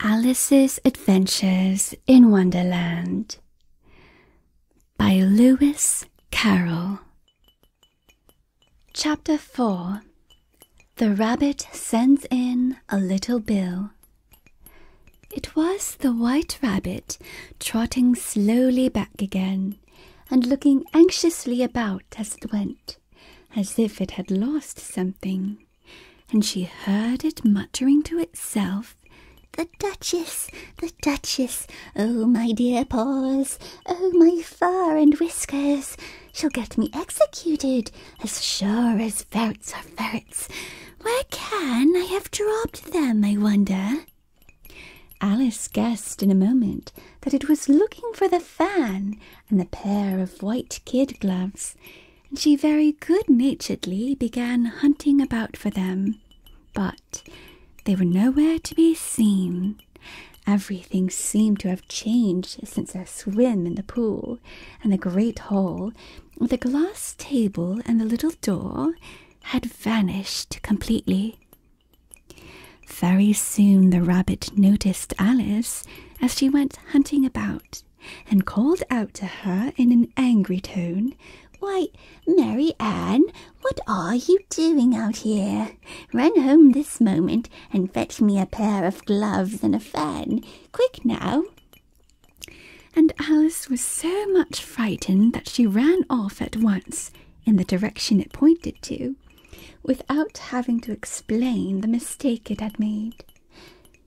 Alice's Adventures in Wonderland by Lewis Carroll. Chapter 4 The Rabbit Sends In a Little Bill. It was the White Rabbit trotting slowly back again and looking anxiously about as it went, as if it had lost something, and she heard it muttering to itself. The Duchess, the Duchess, oh my dear paws, oh my fur and whiskers, She'll get me executed, as sure as ferrets are ferrets. Where can I have dropped them, I wonder? Alice guessed in a moment that it was looking for the fan and the pair of white kid gloves, and she very good naturedly began hunting about for them. But they were nowhere to be seen. Everything seemed to have changed since their swim in the pool, and the great hall, with the glass table, and the little door had vanished completely. Very soon the rabbit noticed Alice as she went hunting about and called out to her in an angry tone, Why, Mary Ann, what are you doing out here? Run home this!" moment and fetch me a pair of gloves and a fan. Quick now. And Alice was so much frightened that she ran off at once in the direction it pointed to, without having to explain the mistake it had made.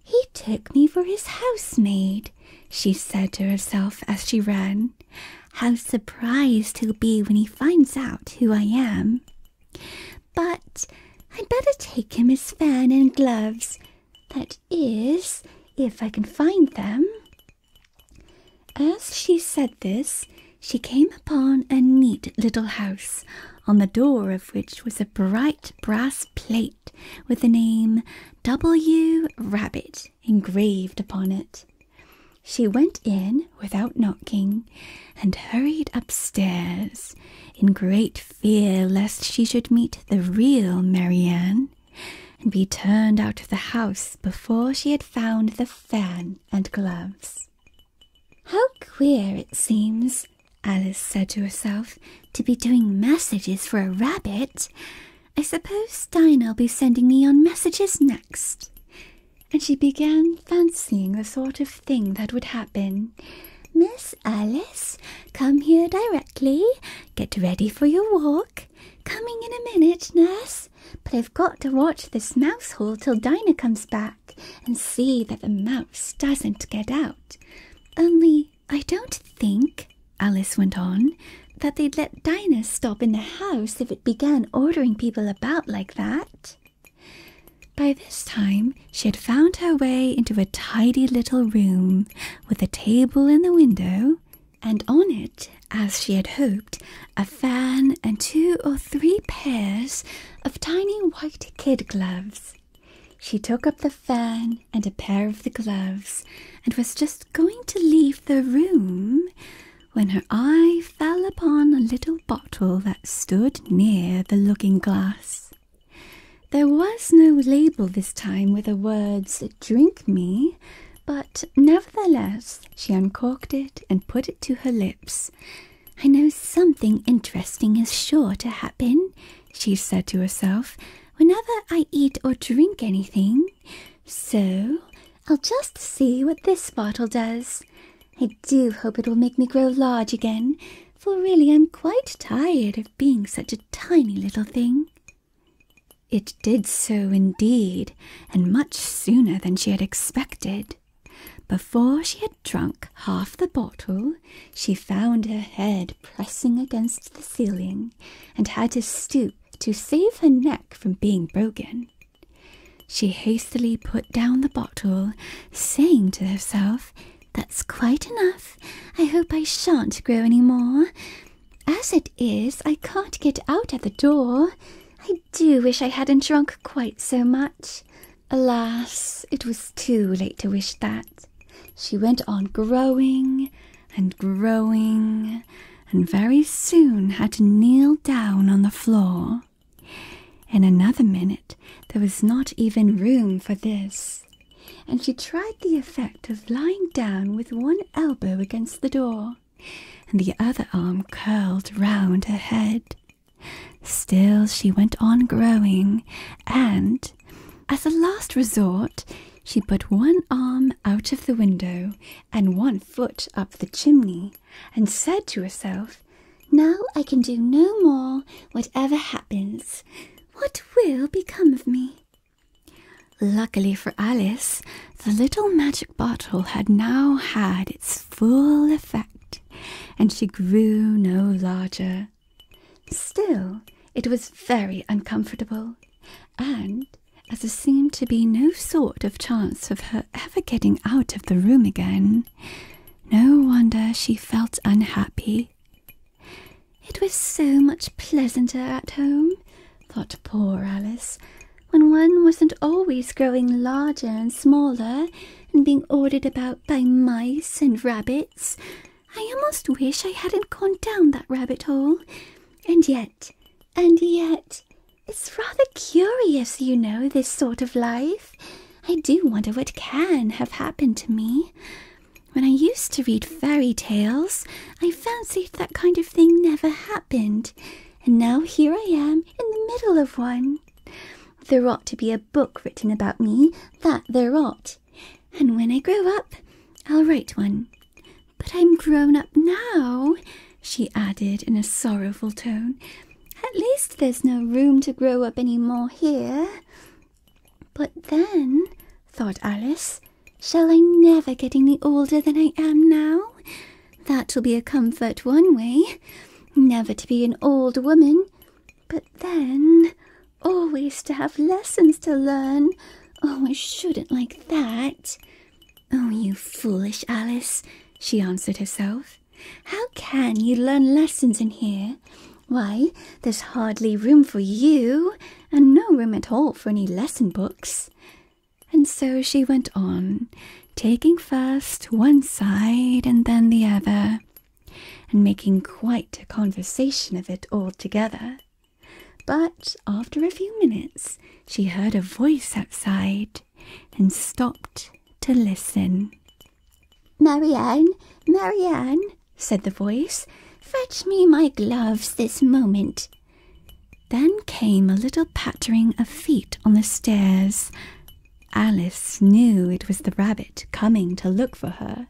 He took me for his housemaid, she said to herself as she ran. How surprised he'll be when he finds out who I am! But I'd better take him his fan and gloves. That is, if I can find them. As she said this, she came upon a neat little house, on the door of which was a bright brass plate with the name W. Rabbit engraved upon it. She went in without knocking and hurried upstairs in great fear lest she should meet the real Marianne and be turned out of the house before she had found the fan and gloves. How queer it seems, Alice said to herself, to be doing messages for a rabbit. I suppose Dinah'll be sending me on messages next and she began fancying the sort of thing that would happen. Miss Alice, come here directly. Get ready for your walk. Coming in a minute, nurse. But I've got to watch this mouse hole till Dinah comes back and see that the mouse doesn't get out. Only I don't think, Alice went on, that they'd let Dinah stop in the house if it began ordering people about like that. By this time, she had found her way into a tidy little room with a table in the window, and on it, as she had hoped, a fan and two or three pairs of tiny white kid gloves. She took up the fan and a pair of the gloves and was just going to leave the room when her eye fell upon a little bottle that stood near the looking glass. There was no label this time with the words drink me, but nevertheless she uncorked it and put it to her lips. I know something interesting is sure to happen, she said to herself, whenever I eat or drink anything. So I'll just see what this bottle does. I do hope it will make me grow large again, for really I'm quite tired of being such a tiny little thing. It did so indeed, and much sooner than she had expected. Before she had drunk half the bottle, she found her head pressing against the ceiling and had to stoop to save her neck from being broken. She hastily put down the bottle, saying to herself, That's quite enough. I hope I shan't grow any more. As it is, I can't get out at the door. I do wish I hadn't drunk quite so much. Alas, it was too late to wish that. She went on growing and growing, and very soon had to kneel down on the floor. In another minute, there was not even room for this, and she tried the effect of lying down with one elbow against the door and the other arm curled round her head. Still, she went on growing, and as a last resort, she put one arm out of the window and one foot up the chimney and said to herself, Now I can do no more, whatever happens. What will become of me? Luckily for Alice, the little magic bottle had now had its full effect, and she grew no larger. Still, it was very uncomfortable, and as there seemed to be no sort of chance of her ever getting out of the room again, no wonder she felt unhappy. It was so much pleasanter at home, thought poor Alice, when one wasn't always growing larger and smaller and being ordered about by mice and rabbits. I almost wish I hadn't gone down that rabbit hole. And yet, and yet, it's rather curious, you know, this sort of life. I do wonder what can have happened to me. When I used to read fairy tales, I fancied that kind of thing never happened, and now here I am in the middle of one. There ought to be a book written about me, that there ought. And when I grow up, I'll write one. But I'm grown up now, she added in a sorrowful tone, at least there's no room to grow up any more here. But then, thought Alice, shall I never get any older than I am now? That'll be a comfort one way, never to be an old woman, but then always to have lessons to learn. Oh, I shouldn't like that. Oh, you foolish Alice, she answered herself. How can you learn lessons in here? Why, there's hardly room for you, and no room at all for any lesson books. And so she went on, taking first one side and then the other, and making quite a conversation of it altogether. But after a few minutes, she heard a voice outside, and stopped to listen. Marianne, Marianne, said the voice, fetch me my gloves this moment. Then came a little pattering of feet on the stairs. Alice knew it was the rabbit coming to look for her,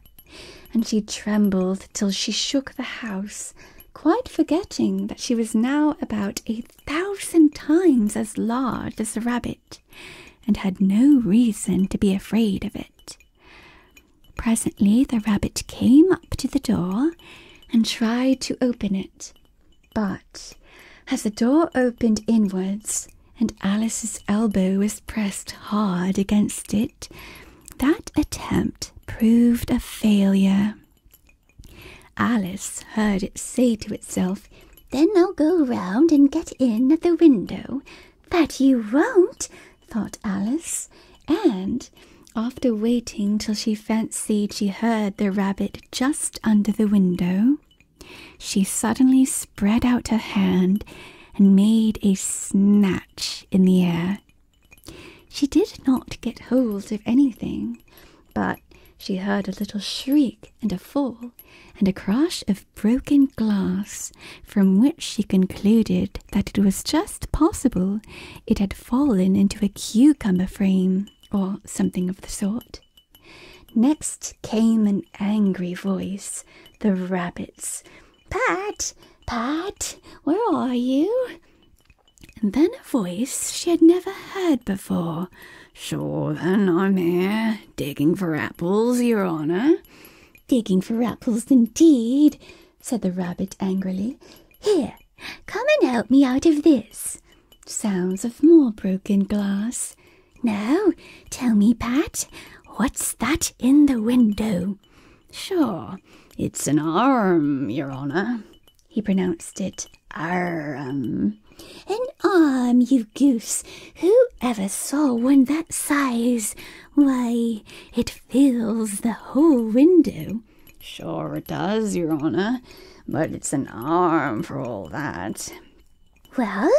and she trembled till she shook the house, quite forgetting that she was now about a thousand times as large as the rabbit and had no reason to be afraid of it. Presently the rabbit came up to the door and tried to open it, but as the door opened inwards and Alice's elbow was pressed hard against it, that attempt proved a failure. Alice heard it say to itself then I'll go round and get in at the window. But you won't, thought Alice, and after waiting till she fancied she heard the rabbit just under the window, she suddenly spread out her hand and made a snatch in the air. She did not get hold of anything, but she heard a little shriek and a fall, and a crash of broken glass, from which she concluded that it was just possible it had fallen into a cucumber frame or something of the sort. Next came an angry voice, the rabbit's. Pat, Pat, where are you? And then a voice she had never heard before, Sure, then I'm here, digging for apples, your honour. Digging for apples, indeed, said the rabbit angrily. Here, come and help me out of this. Sounds of more broken glass. Now, tell me, Pat, what's that in the window? Sure, it's an arm, your honour. He pronounced it Arm. Um, an arm, you goose! Who ever saw one that size? Why, it fills the whole window. Sure it does, Your Honour, but it's an arm for all that. Well,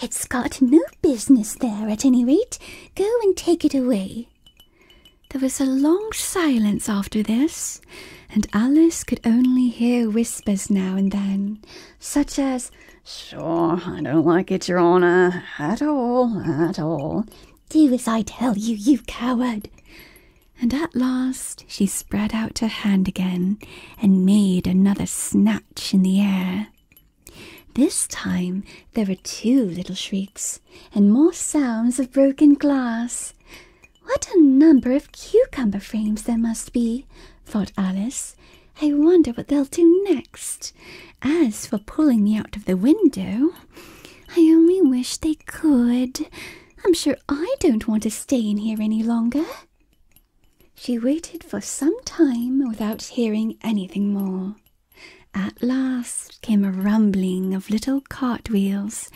it's got no business there at any rate. Go and take it away. There was a long silence after this, and Alice could only hear whispers now and then, such as, Sure, I don't like it, Your Honour, at all, at all. Do as I tell you, you coward. And at last she spread out her hand again and made another snatch in the air. This time there were two little shrieks and more sounds of broken glass. What a number of cucumber frames there must be, thought Alice. I wonder what they'll do next. As for pulling me out of the window, I only wish they could. I'm sure I don't want to stay in here any longer. She waited for some time without hearing anything more. At last came a rumbling of little cart wheels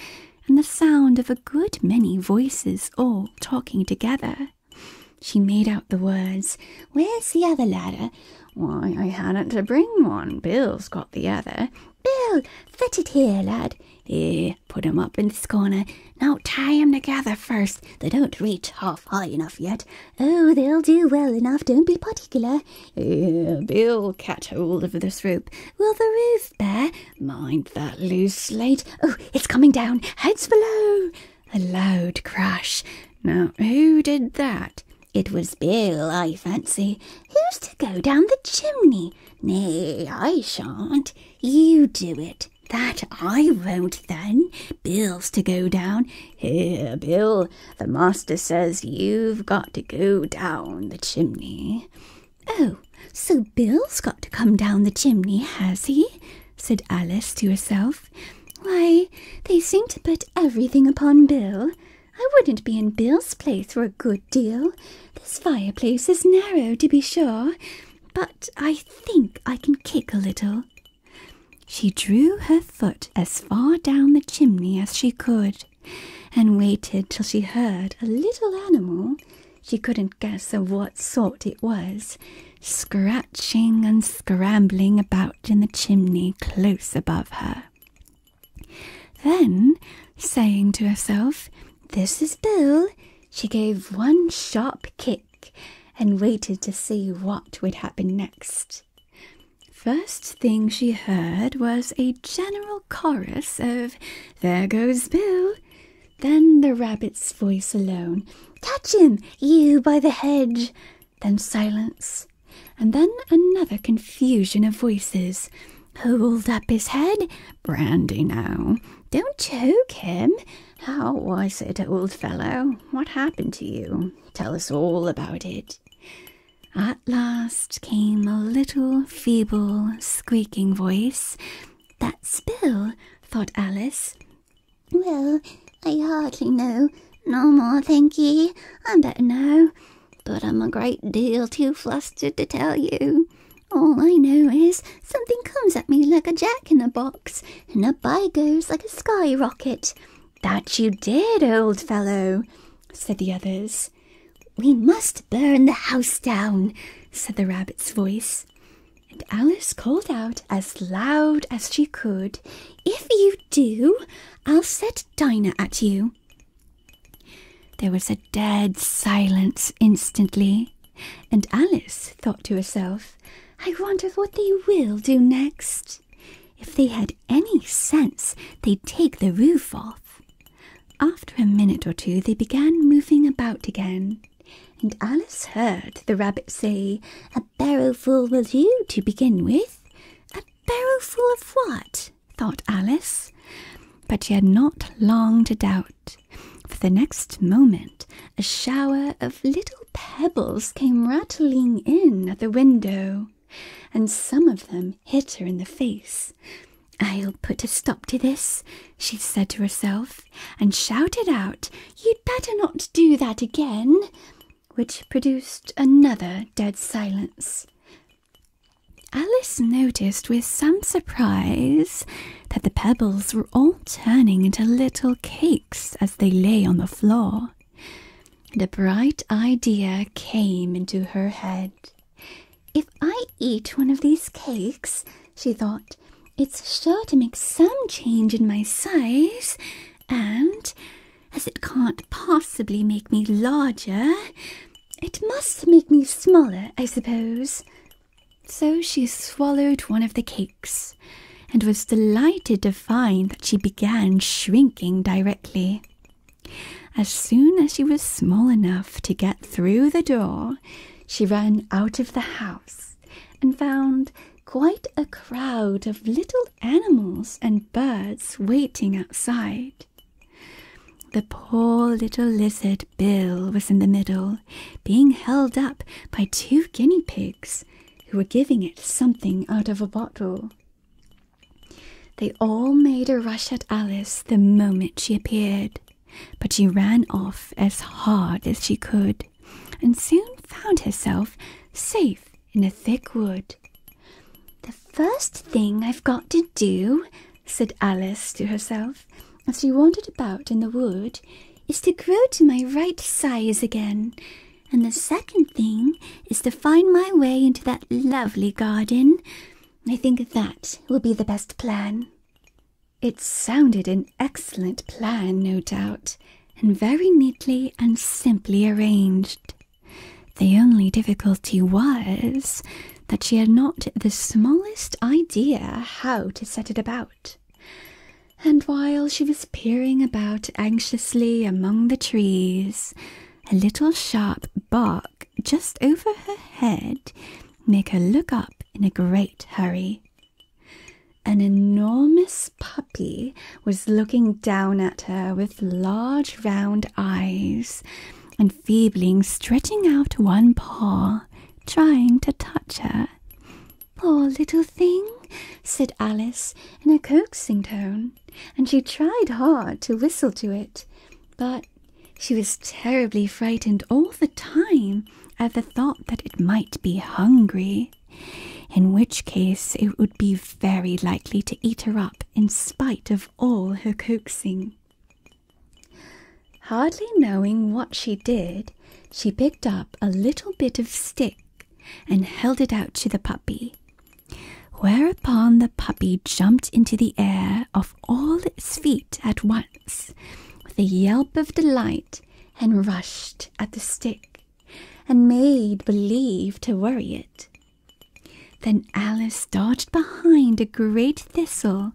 and the sound of a good many voices all talking together. She made out the words, Where's the other ladder? Why, I hadn't to bring one. Bill's got the other. Bill, fit it here, lad. Here, put 'em up in this corner. Now tie 'em together first. They don't reach half high enough yet. Oh, they'll do well enough. Don't be particular. Eh, Bill, catch hold of this rope. Will the roof bear? Mind that loose slate. Oh, it's coming down. Heads below. A loud crash. Now, who did that? It was Bill, I fancy. Who's to go down the chimney? Nay, I shan't. You do it. That I won't then. Bill's to go down. Here, Bill, the master says you've got to go down the chimney. Oh, so Bill's got to come down the chimney, has he? said Alice to herself. Why, they seem to put everything upon Bill. I wouldn't be in Bill's place for a good deal. This fireplace is narrow, to be sure, but I think I can kick a little. She drew her foot as far down the chimney as she could, and waited till she heard a little animal she couldn't guess of what sort it was, scratching and scrambling about in the chimney close above her. Then, saying to herself, This is Bill, she gave one sharp kick and waited to see what would happen next. First thing she heard was a general chorus of There goes Bill, then the rabbit's voice alone Catch him, you by the hedge! Then silence, and then another confusion of voices. Hold up his head, brandy now. Don't choke him. How was it, old fellow? What happened to you? Tell us all about it. At last came a little feeble, squeaking voice. That spill, thought Alice. Well, I hardly know. No more, thank ye. I'm better now. But I'm a great deal too flustered to tell you. All I know is something comes at me like a jack in a box, and up I goes like a sky rocket. That you did, old fellow, said the others. We must burn the house down, said the rabbit's voice. And Alice called out as loud as she could, If you do, I'll set Dinah at you. There was a dead silence instantly, and Alice thought to herself, I wonder what they will do next. If they had any sense, they'd take the roof off. After a minute or two, they began moving about again, and Alice heard the rabbit say, A barrowful will you to begin with? A barrowful of what? thought Alice. But she had not long to doubt, for the next moment a shower of little pebbles came rattling in at the window, and some of them hit her in the face. I'll put a stop to this, she said to herself, and shouted out, You'd better not do that again, which produced another dead silence. Alice noticed with some surprise that the pebbles were all turning into little cakes as they lay on the floor, and a bright idea came into her head. If I eat one of these cakes, she thought, it's sure to make some change in my size, and as it can't possibly make me larger, it must make me smaller, I suppose. So she swallowed one of the cakes, and was delighted to find that she began shrinking directly. As soon as she was small enough to get through the door, she ran out of the house and found quite a crowd of little animals and birds waiting outside. The poor little lizard Bill was in the middle, being held up by two guinea pigs who were giving it something out of a bottle. They all made a rush at Alice the moment she appeared but she ran off as hard as she could, and soon found herself safe in a thick wood. The first thing I've got to do, said Alice to herself, as she wandered about in the wood, is to grow to my right size again. And the second thing is to find my way into that lovely garden. I think that will be the best plan. It sounded an excellent plan, no doubt, and very neatly and simply arranged. The only difficulty was that she had not the smallest idea how to set it about. And while she was peering about anxiously among the trees, a little sharp bark just over her head made her look up in a great hurry. An enormous puppy was looking down at her with large round eyes and feebly stretching out one paw, trying to touch her. Poor little thing, said Alice in a coaxing tone, and she tried hard to whistle to it, but she was terribly frightened all the time at the thought that it might be hungry, in which case it would be very likely to eat her up in spite of all her coaxing. Hardly knowing what she did, she picked up a little bit of stick and held it out to the puppy. Whereupon the puppy jumped into the air off all its feet at once with a yelp of delight and rushed at the stick and made believe to worry it. Then Alice dodged behind a great thistle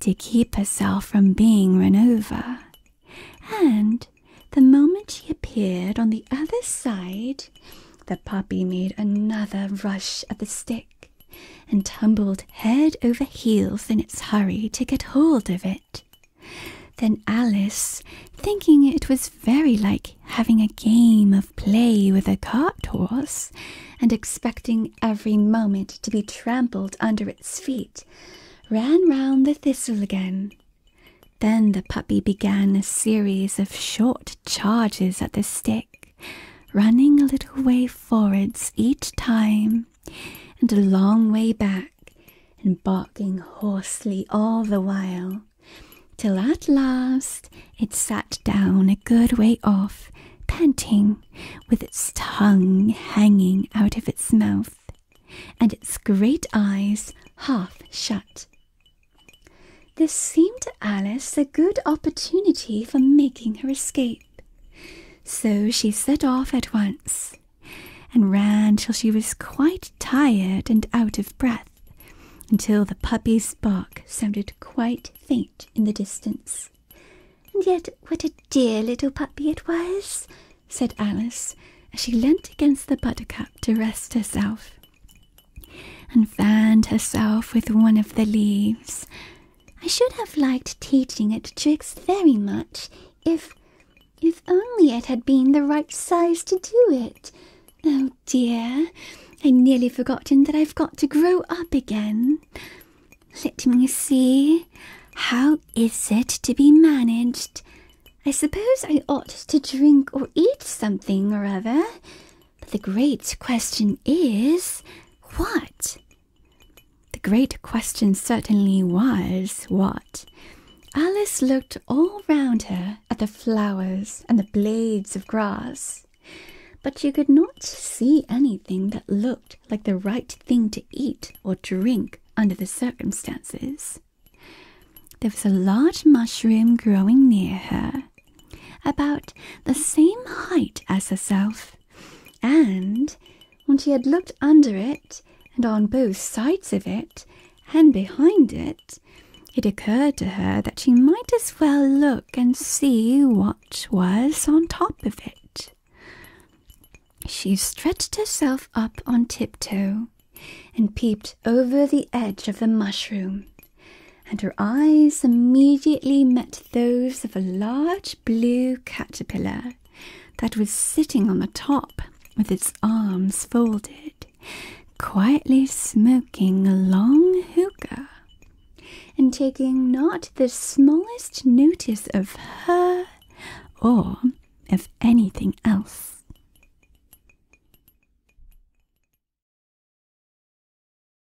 to keep herself from being run over, and the moment she appeared on the other side, the puppy made another rush at the stick and tumbled head over heels in its hurry to get hold of it. Then Alice, thinking it was very like having a game of play with a cart horse, and expecting every moment to be trampled under its feet, ran round the thistle again. Then the puppy began a series of short charges at the stick, running a little way forwards each time and a long way back, and barking hoarsely all the while, till at last it sat down a good way off, panting, with its tongue hanging out of its mouth, and its great eyes half shut. This seemed to Alice a good opportunity for making her escape. So she set off at once, and ran till she was quite tired and out of breath, until the puppy's bark sounded quite faint in the distance. And yet what a dear little puppy it was, said Alice, as she leant against the buttercup to rest herself, and fanned herself with one of the leaves, I should have liked teaching it tricks very much if if only it had been the right size to do it. Oh dear, I nearly forgotten that I've got to grow up again. Let me see. How is it to be managed? I suppose I ought to drink or eat something or other. But the great question is, what? The great question certainly was what? Alice looked all round her at the flowers and the blades of grass, but she could not see anything that looked like the right thing to eat or drink under the circumstances. There was a large mushroom growing near her, about the same height as herself, and when she had looked under it, and on both sides of it, and behind it, it occurred to her that she might as well look and see what was on top of it. She stretched herself up on tiptoe and peeped over the edge of the mushroom, and her eyes immediately met those of a large blue caterpillar that was sitting on the top with its arms folded, quietly smoking a long hookah, and taking not the smallest notice of her or of anything else.